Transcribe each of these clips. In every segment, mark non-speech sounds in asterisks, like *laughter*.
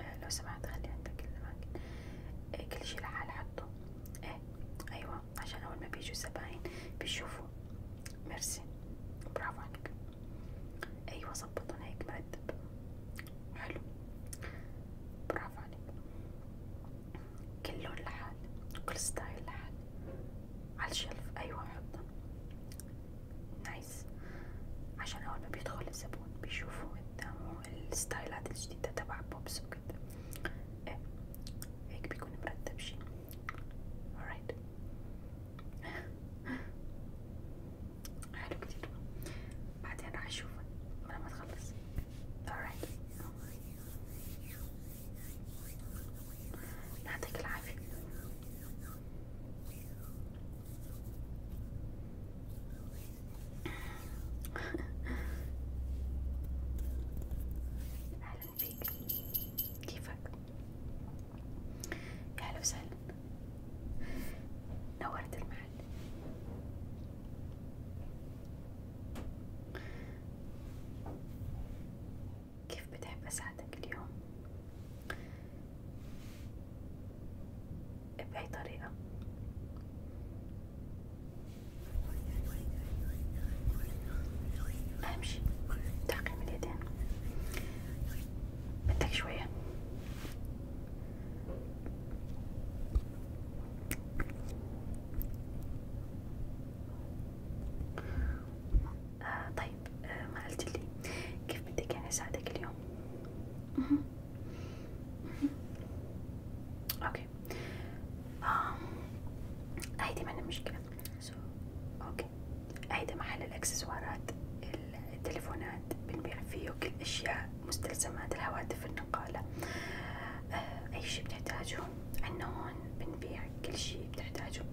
آه، لو سمحت خلي عندك الأماكن كل شي لحال حطه ايه أيوة عشان أول ما بيجوا الزباين بيشوفوا ميرسي برافو عليك أيوة ظبطنا هيك مرتب حلو برافو عليك كل لون لحال وكل ستايل لحال على الشلف أيوة حطه جايز عشان اول ما بيدخل الزبون بيشوفوا قدامه الستايلات الجديدة تبع بوبس وكده ايه هيك بيكون مرتب شي alright حلو كتير بعدين راح اشوفه لما تخلص alright يعطيك العافية أهلا فيك كيفك؟ يا هلا وسهلا نورت المحل كيف بتحب أساعدك اليوم؟ بأي طريقة أهم شي تعقيم اليدين بدك شوية آه طيب طيب آه ما قلتلي كيف بدك يعني اساعدك اليوم اوكي آه. هيدي مانا مشكلة سو اوكي هيدا محل الاكسسوارات التليفونات بنبيع فيه كل اشياء مستلزمات الهواتف النقالة آه. اي شي بتحتاجه عنا هون بنبيع كل شي بتحتاجه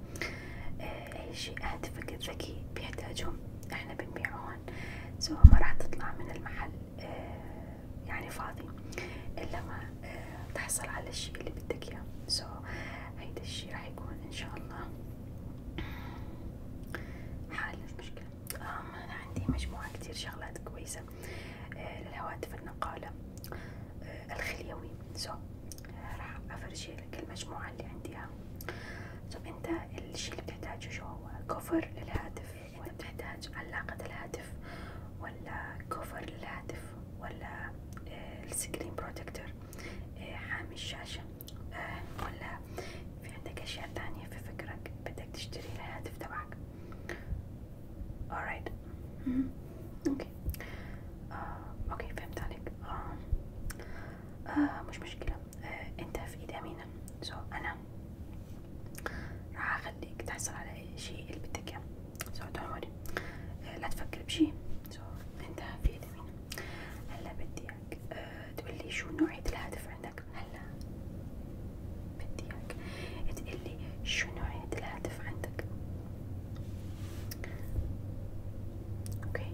آه، أي شيء هاتفك الذكي بيحتاجهم إحنا بنبيعه هون سواء ما راح تطلع من المحل آه يعني فاضي إلا ما آه تحصل على الشيء اللي بدك إياه سو هيدا الشيء راح يكون إن شاء الله حل المشكلة آه أنا عندي مجموعة كتير شغلات كويسة آه للهواتف النقالة آه الخليوي سو راح أفرجي لك المجموعة اللي عنديها طب انت الشي اللي بتحتاجه شو هو كفر للهاتف انت بتحتاج علاقة الهاتف ولا كفر للهاتف ولا آه، السكرين بروتكتور آه، حامي الشاشة آه، ولا في عندك اشياء تانية في فكرك بدك تشتري الهاتف تبعك alright اوكي اوكي فهمت عليك مش مشكلة آه، انت في ايد امينه سو انا راح اخليك تحصل على اي شيء اللي بدك اياه سو تمام آه، لا تفكر بشي سو انت في ايد امينه هلا بدي اياك آه، تقولي شو نوعية الهاتف عندك هلا بدي اياك تقولي شو نوعية الهاتف عندك اوكي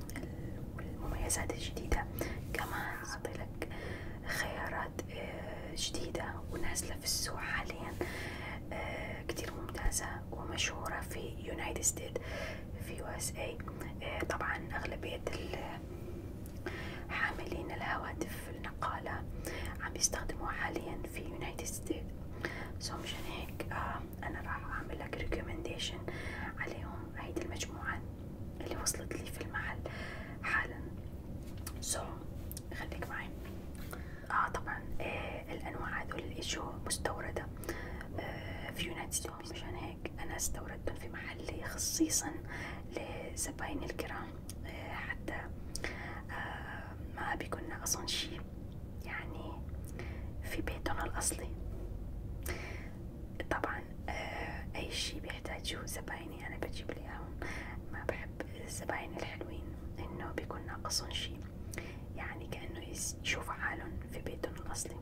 والمميزات الجديدة كمان لك خيارات آه، جديدة ونازلة في السوق حاليا آه، كتير ممتازة ومشهورة في يونايتد ستيت في يو اس اي طبعا أغلبية حاملين الهواتف النقالة عم بيستخدموها حاليا في يونايتد ستيت سو مشان هيك آه، أنا راح أعمل لك ريكومنديشن عليهم هيدي المجموعة اللي وصلت لي في المحل حالا سو so, خليك معي اه طبعا آه الانواع هذول اللي اجوا مستورده آه في يونايتد ستيتس مشان هيك انا استوردتهم في محلي خصيصا لزبايني الكرام آه حتى آه ما بيكون ناقصهم شي يعني في بيتهم الاصلي طبعا آه، اي شي بيحتاجوه زبايني انا بجيب لي ما بحب الزباين الحلوين انه بيكون ناقصهم شي يعني كأنه يشوف حالهم في بيتهم الاصلي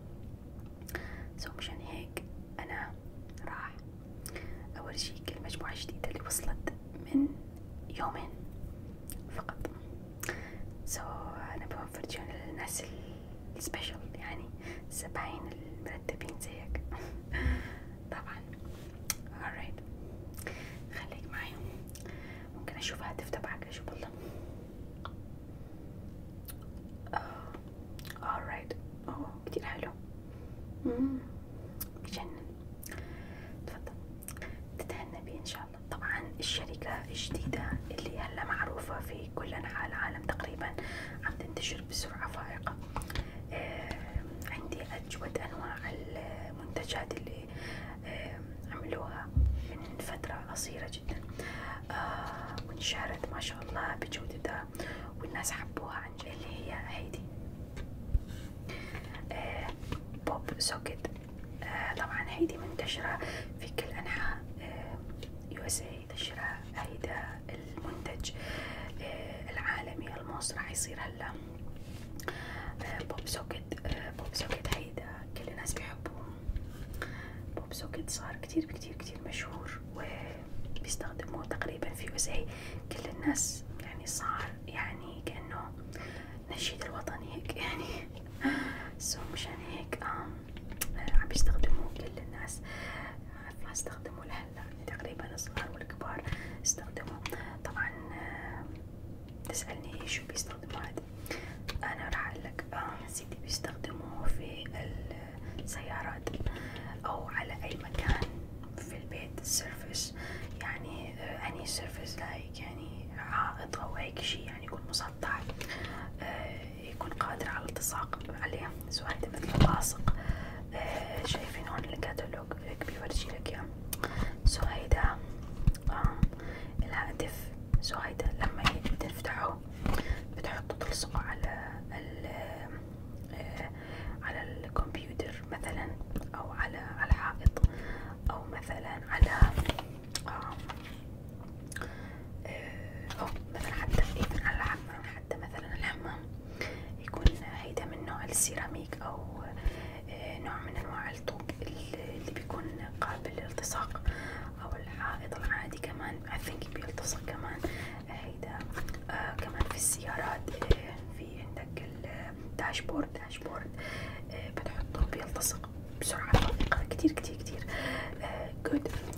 سو مشان هيك انا راح اورجيك المجموعة الجديدة اللي وصلت من يومين فقط سو so, انا بفرجيهم للناس اللي السبيشال يعني السبعين المرتبين زيك *laughs* طبعا alright خليك معايا ممكن اشوف هاتف تبعك اشوف والله آه. alright اوه كتير حلو مم. بجنن تفضل تتهنى بيه ان شاء الله طبعا الشركة الجديدة اللي هلا معروفة في في كل أنحاء العالم تقريبا عم تنتشر بسرعة فائقة آه، عندي أجود أنواع المنتجات اللي آه، عملوها من فترة قصيرة جدا وانشهرت آه، ما شاء الله بجودتها والناس حبوها عن اللي هي هيدي بوب سوكت طبعا هيدي منتشرة في كل أنحاء يو اس اي أريد الشراء المنتج آه، العالمي الموس راح يصير هلا بوب سوكت بوب سوكت هيدا كل الناس بيحبوه بوب سوكت صار كتير كتير كتير مشهور وبيستخدموه تقريبا في USA كل الناس يعني صار يعني كأنه نشيد الوطني هيك يعني سو *laughs* مشان هيك آم عم يستخدموه كل الناس ما استخدموه لهلا يعني تقريبا الصغار والكبار استخدموه طبعا آه، تسألني شو بيستخدموا هذا أنا راح أقولك آه سيدي بيستخدموه في السيارات أو على أي مكان في البيت سيرفس يعني أني سيرفس لايك يعني عائق أو هيك شي يعني يكون مسطح آه يكون قادر على التصاق عليه سواء انت مثلا لاصق آه، شايفين هون الكتالوج بيورجي لك اياه سهيدا آه الهاتف سهيدا لما تفتحه بتحطوا تلصقه على ال آه، على الكمبيوتر مثلا او على الحائط او مثلا على آه، آه، أو مثلا حتى إذا الحمام حتى مثلا الحمام يكون هيدا من نوع السيراميك أو آه، نوع من أنواع الطوب اللي بيكون قابل للالتصاق أو الحائط العادي كمان I think بيلتصق كمان آه، هيدا آه كمان في السيارات في عندك الداشبورد داشبورد آه بتحطه بيلتصق بسرعة دقيقة كتير كتير كتير آه good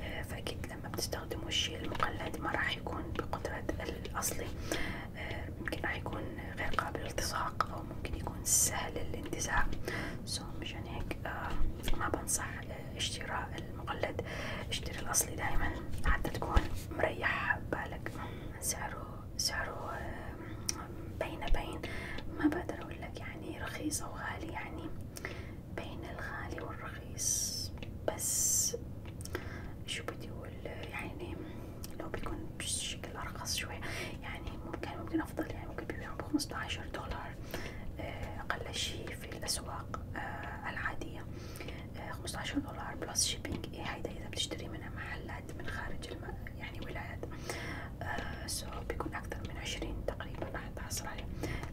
آه، فأكيد لما بتستخدموا الشيء المقلد ما راح يكون بقدرة الأصلي آه، ممكن راح يكون غير قابل للالتصاق أو ممكن يكون سهل الانتزاع سو مشان هيك آه، ما بنصح اشتراء المقلد اشتري الأصلي دايما حتى تكون مريح بالك سعره سعره بين بين ما بقدر أقول لك يعني رخيص أو غالي يعني بين الغالي والرخيص بس شو بدي اقول يعني لو بيكون بشكل ارخص شوي يعني ممكن ممكن افضل يعني ممكن بيبيعوا بخمسة عشر دولار آه، اقل شي في الاسواق آه، العادية آه، خمسة عشر دولار بلس شيبينج إيه هيدا اذا بتشتري من محلات من خارج الم... يعني ولايات سو بيكون اكثر من عشرين تقريبا راح تحصل عليه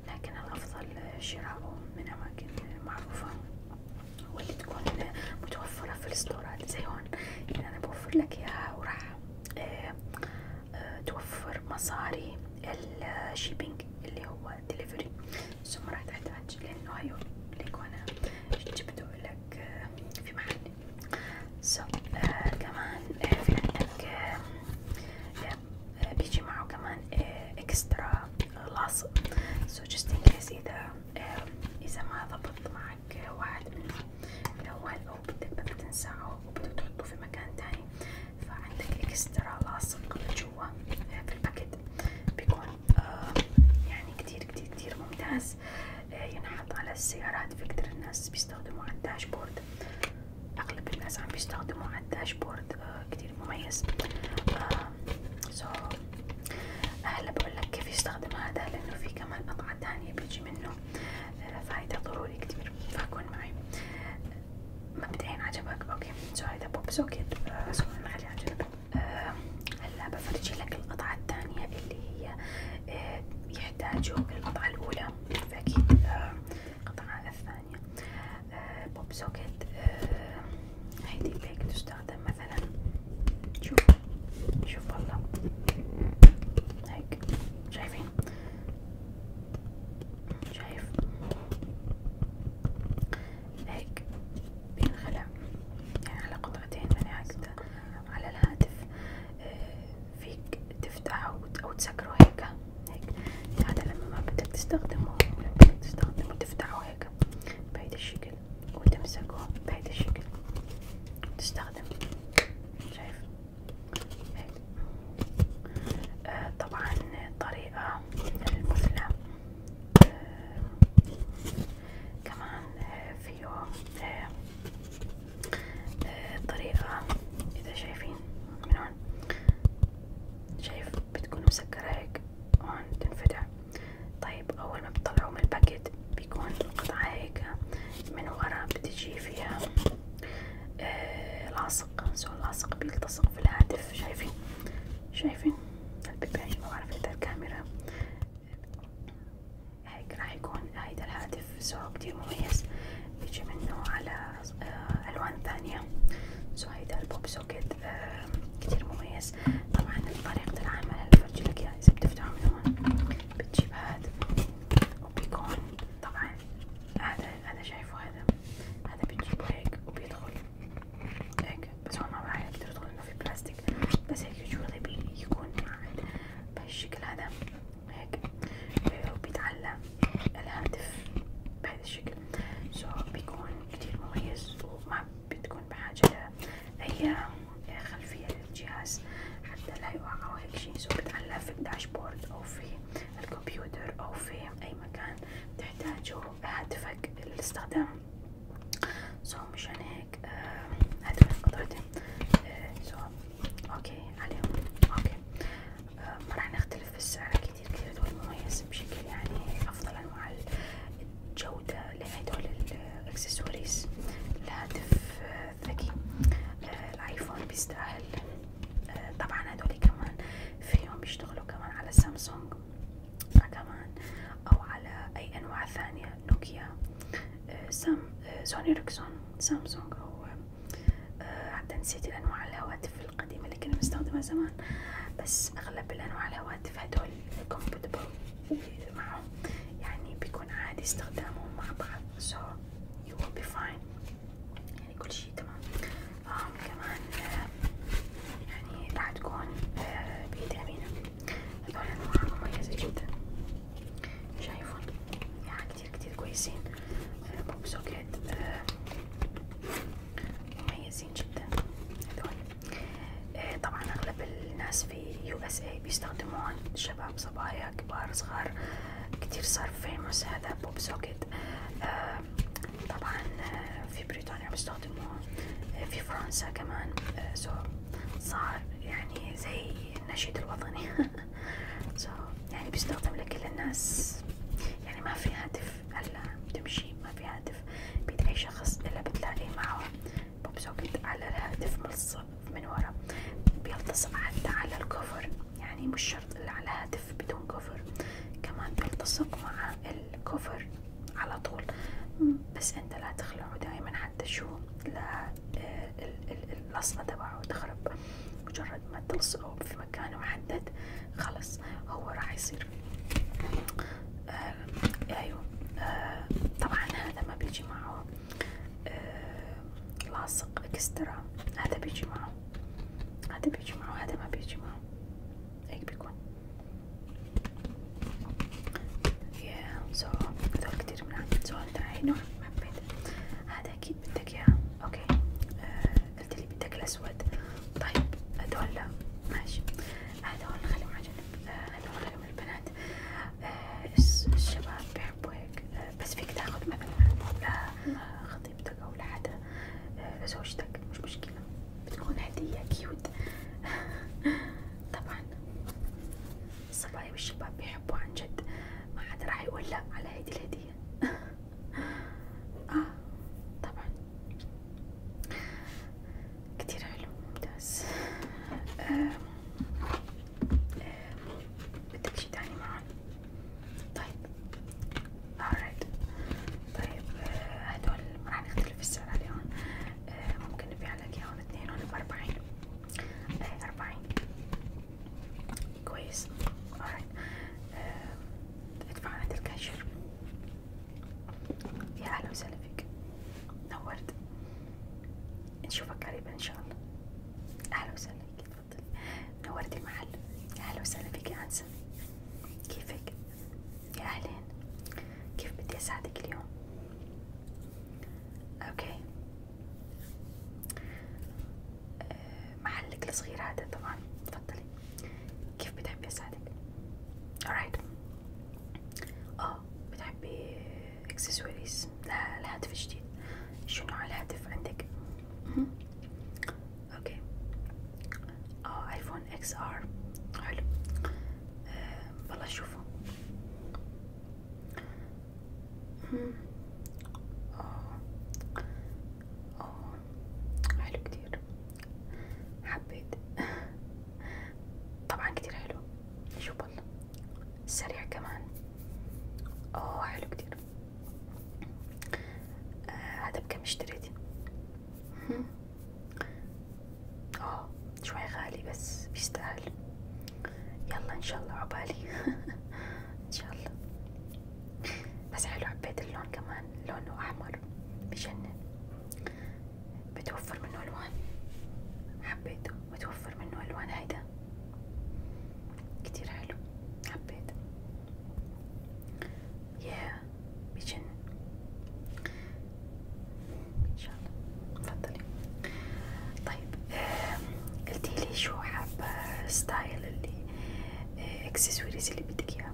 لكن الأفضل شراؤه من أماكن معروفة واللي تكون متوفرة في الاسطورات زي هون يعني أنا بوفر لك إياها وراح آه، آه، توفر مصاري الشيبينج اللي هو الدليفري ثم راح تحتاج لأنه هيو ليكو أنا جبته لك آه، في محل so, آه كمان في عندك بيجي معه كمان اكسترا لاصق سو جست ان كيس اذا آه، اذا ما ضبط معك واحد منهم الاول او بدك بدك تنسعه وبدك تحطه في مكان تاني فعندك اكسترا لاصق جوا آه، في الباكيت بيكون آه، يعني كتير كتير كتير ممتاز ينحط على السيارات في كتير الناس بيستخدموا على الداشبورد اغلب الناس عم بيستخدموا على الداشبورد آه كتير مميز آه سو هلا بقولك كيف يستخدم هذا لانه في كمان قطعة تانية بيجي منه آه فهيدا ضروري كتير فكون معي مبدئيا عجبك اوكي سو هيدا بوب سوكيت آه سو نخليه على جنب آه هلا بفرجي لك القطعة التانية اللي هي آه يحتاجوا القطعة الأولى فأكيد آه القطعة الثانية بوب آه، سوكت آه، هيدي بيك تستخدم مثلا شوف شوف والله هيك شايفين شايف هيك بينخلع يعني على قطعتين من هكذا على الهاتف آه، فيك تفتحه أو تسكره هيك هيك يعني هذا لما ما بدك تستخدمه بدك تستخدمه تفتحه هيك بهيدا الشكل وتمسكه بهيدا الشكل تستخدم شايف هيك آه طبعا الطريقة المثلى آه كمان آه فيه آه آه طريقة إذا شايفين من هون شايف بتكون مسكرة هيك هون تنفتح طيب أول ما بتطلعوا من الباكيت بيكون القطعة هيك من ورا بتجي فيها آه لاصق سو اللاصق بيلتصق في الهاتف شايفين شايفين البيبان ما بعرف إذا الكاميرا هيك راح يكون هيدا الهاتف سو كتير مميز بيجي منه على آه، ألوان ثانية سو هيدا البوب سوكيت آه، كتير مميز طبعا طريقة العمل هالفرجي لك اياه اذا بتفتحه من هون بتجيب هاد وبيكون طبعا هذا هذا شايفه هذا هذا بتجيبه هيك وبيدخل هيك بس هو ما راح يقدر يدخل انه في بلاستيك بس هيك يجولي بيكون بهالشكل هذا هيك آه، وبيتعلق الهاتف بهذا الشكل سو so بيكون كتير مميز وما بتكون بحاجة لأي خلفية للجهاز حتى لا يوقع أو هيك شي سو بتعلق في الداشبورد أو في الكمبيوتر أو في أي مكان بتحتاجه هاتفك للاستخدام سو so مشان هيك هذول قطعتين سو اوكي عليهم اوكي ما راح نختلف في السعر كتير هدول مميز بشكل يعني أفضلا مع الجودة لهدول الإكسسوارز الهاتف الذكي أه، أه، الآيفون بيستاهل أه، طبعا هدول كمان فيهم بيشتغلوا كمان على سامسونج كمان أو على أي أنواع ثانية نوكيا سام سوني ريكسون سامسونج أو حتى نسيت انواع الهواتف القديمة اللي كنا بنستخدمها زمان بس أغلب الأنواع الهواتف هدول كومبتبل معهم يعني بيكون عادي استخدامهم مع بعض so you will be fine يعني كل شي تمام آه كمان يعني راح تكون آه، بيد أمينة هدول أنواع مميزة جدا شايفون يعني كتير كتير كويسين بوب سوكيت مميزين جدا هذول طيب. آه طبعا اغلب الناس في يو إيه بيستخدموهم شباب صبايا كبار صغار كتير صار فيموس هذا بوب سوكيت آه طبعا آه، في بريطانيا بيستخدموه آه، في فرنسا كمان آه، صار يعني زي النشيد الوطني سو *laughs* يعني بيستخدم لكل الناس يعني ما في هاتف هلا بتمشي ما في هاتف بيد أي شخص إلا بتلاقي معه بوب سوكت على الهاتف ملصق من ورا بيلتصق حتى على الكفر يعني مش شرط إلا على الهاتف بدون كفر كمان بيلتصق مع الكفر على طول بس أنت لا تخلعه دائما حتى شو لا آه، الأصلة تبعه تخرب مجرد مجرد ما تلصقه في مكان محدد خلص هو راح يصير آه ايوه آه طبعا هذا ما بيجي معه آه لاصق اكسترا هذا بيجي معه هذا بيجي معه هذا ما بيجي معه هيك بيكون يا سو هذول كتير من عندي سو انت اي نوع ما هذا اكيد بدك اياه اوكي آه، قلت لي بدك الأسود طيب هدول ماشي هدول نخليهم على جنب هدول آه، نخليهم البنات آه، الشباب بيحبوا هيك آه، بس فيك تاخذ مثلا لخطيبتك أو لحدا لزوجتك مش مشكلة بتكون هدية كيوت *laughs* طبعا الصبايا والشباب بيحبوا عن جد ما حدا راح يقول لا على هيدي الهدية *laughs* آه طبعا كتير حلو ممتاز آه. بدك شي تاني معا طيب alright طيب آه، هدول ما راح نختلف السعر عليهم آه. ممكن نبيع لك اياهم اثنين هون بأربعين آه. أربعين كويس alright ادفع عند الكاشير يا أهلا وسهلا فيك نورت نشوفك قريبا إن شاء الله أهلا وسهلا فيك تفضلي نورت المحل أهلا وسهلا فيك يا أنسة كيفك؟ يا أهلين كيف بدي أساعدك اليوم؟ أوكي آه، محلك الصغير هذا طبعا تفضلي كيف بتحبي أساعدك؟ alright اه بتحبي اكسسوارز للهاتف الجديد شو نوع الهاتف عندك؟ مم. اوكي اه ايفون اكس ار حلو آه، والله شوفه اوه حلو كتير حبيت طبعا كتير حلو شو والله سريع كمان اوه حلو كتير آه هذا بكم اشتريتي اه شوي غالي بس بيستاهل يلا ان شاء الله عبالي *laughs* ان شاء الله بس حلو حبيت اللون كمان لونه أحمر بجنن بتوفر منه ألوان حبيته بتوفر منه ألوان هيدا كتير حلو حبيت ياه بجنن إن شاء الله تفضلي طيب قلتيلي شو حابة ستايل اللي اكسسوارز آه، اللي بدك اياها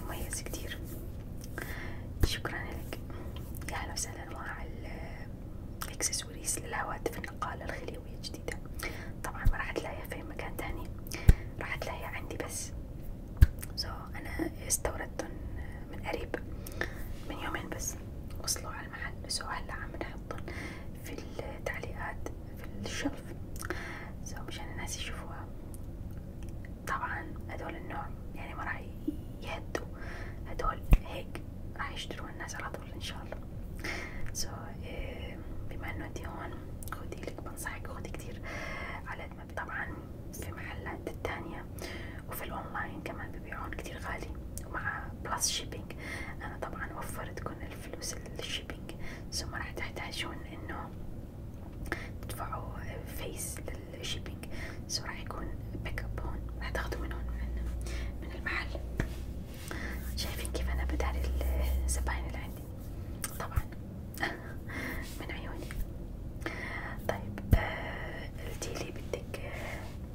مميز كتير شكرا لك يا هلا وسهلا مع الاكسسوارز للهواتف النقالة الخليوية الجديدة طبعا ما راح تلاقيها في مكان تاني راح تلاقيها عندي بس سو so, انا استوردتهم من قريب من يومين بس وصلوا على المحل سو هلا عم نحطهم في التعليقات في الشلف سو مشان الناس يشوفوها طبعا هدول النوع يعني ما راح يهدوا هدول هيك راح يشتروها الناس على طول ان شاء الله سو إيه، بما انه انتي هون خدي لك بنصحك خدي كتير على قد طبعا في محلات التانية وفي الاونلاين كمان ببيعون كتير غالي ومع بلس شيبينج انا طبعا وفرتكم الفلوس الشيبينج سو ما راح تحتاجون انه تدفعوا فيس لل الشيبينج سو راح يكون بيك اب هون راح تاخدوا من هون من, من المحل شايفين كيف انا بداري الزباين اللي عندي طبعا *laughs* من عيوني طيب آه، قلتيلي بدك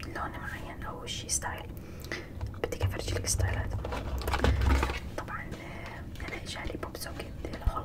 لون معين او شي ستايل بدك افرجلك ستايلات طبعا آه، انا اجالي بوب سوكيت الخلطة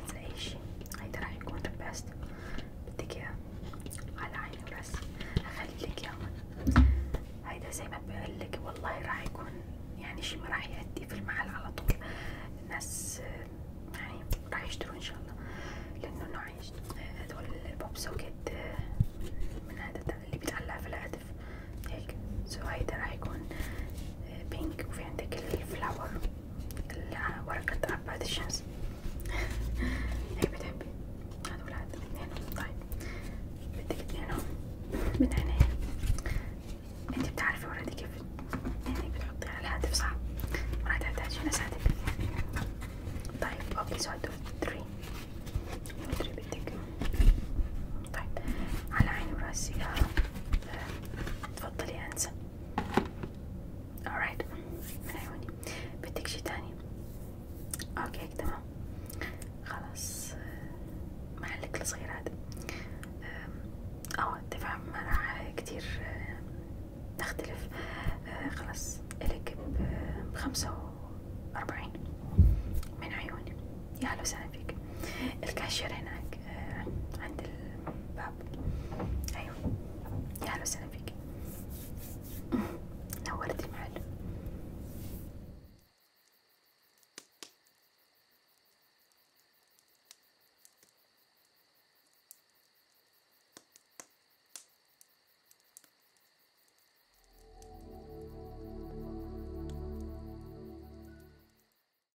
ينسى اي شي هيدا راح يكون البست بدك اياه على عيني وراسي اخليلك اياه هيدا زي ما بقولك والله راح يكون يعني شي ما راح يأدي في المحل على طول الناس يعني راح يشتروا ان شاء الله لانه نوع هدول البوب سوكيت من هذا اللي بيتعلق في الهاتف هيك سو هيدا راح يكون بينك وفي عندك الفلاور ورقة بعد الشمس *laughs* هي إيه بتحبي هذا ولاد هنا طيب بدك هنا من هنا يعني. انت بتعرفي ورادي كيف يعني بتحطي على الهاتف صح راح تحتاجي هنا ساعتك طيب اوكي سو دو تري مدري بدك طيب على عيني وراسي آه. تفضلي هنسة alright من عيوني بدك شي تاني اوكي هيك تمام خلاص محلك الصغير هذا اه دفعة ما راح كتير نختلف أه، خلاص الك بخمسة واربعين من عيوني يا هلا وسهلا فيك الكاشير هناك هناك آه، عند الباب أيوة يا أهلا وسهلا فيك *laughs* نورت المحل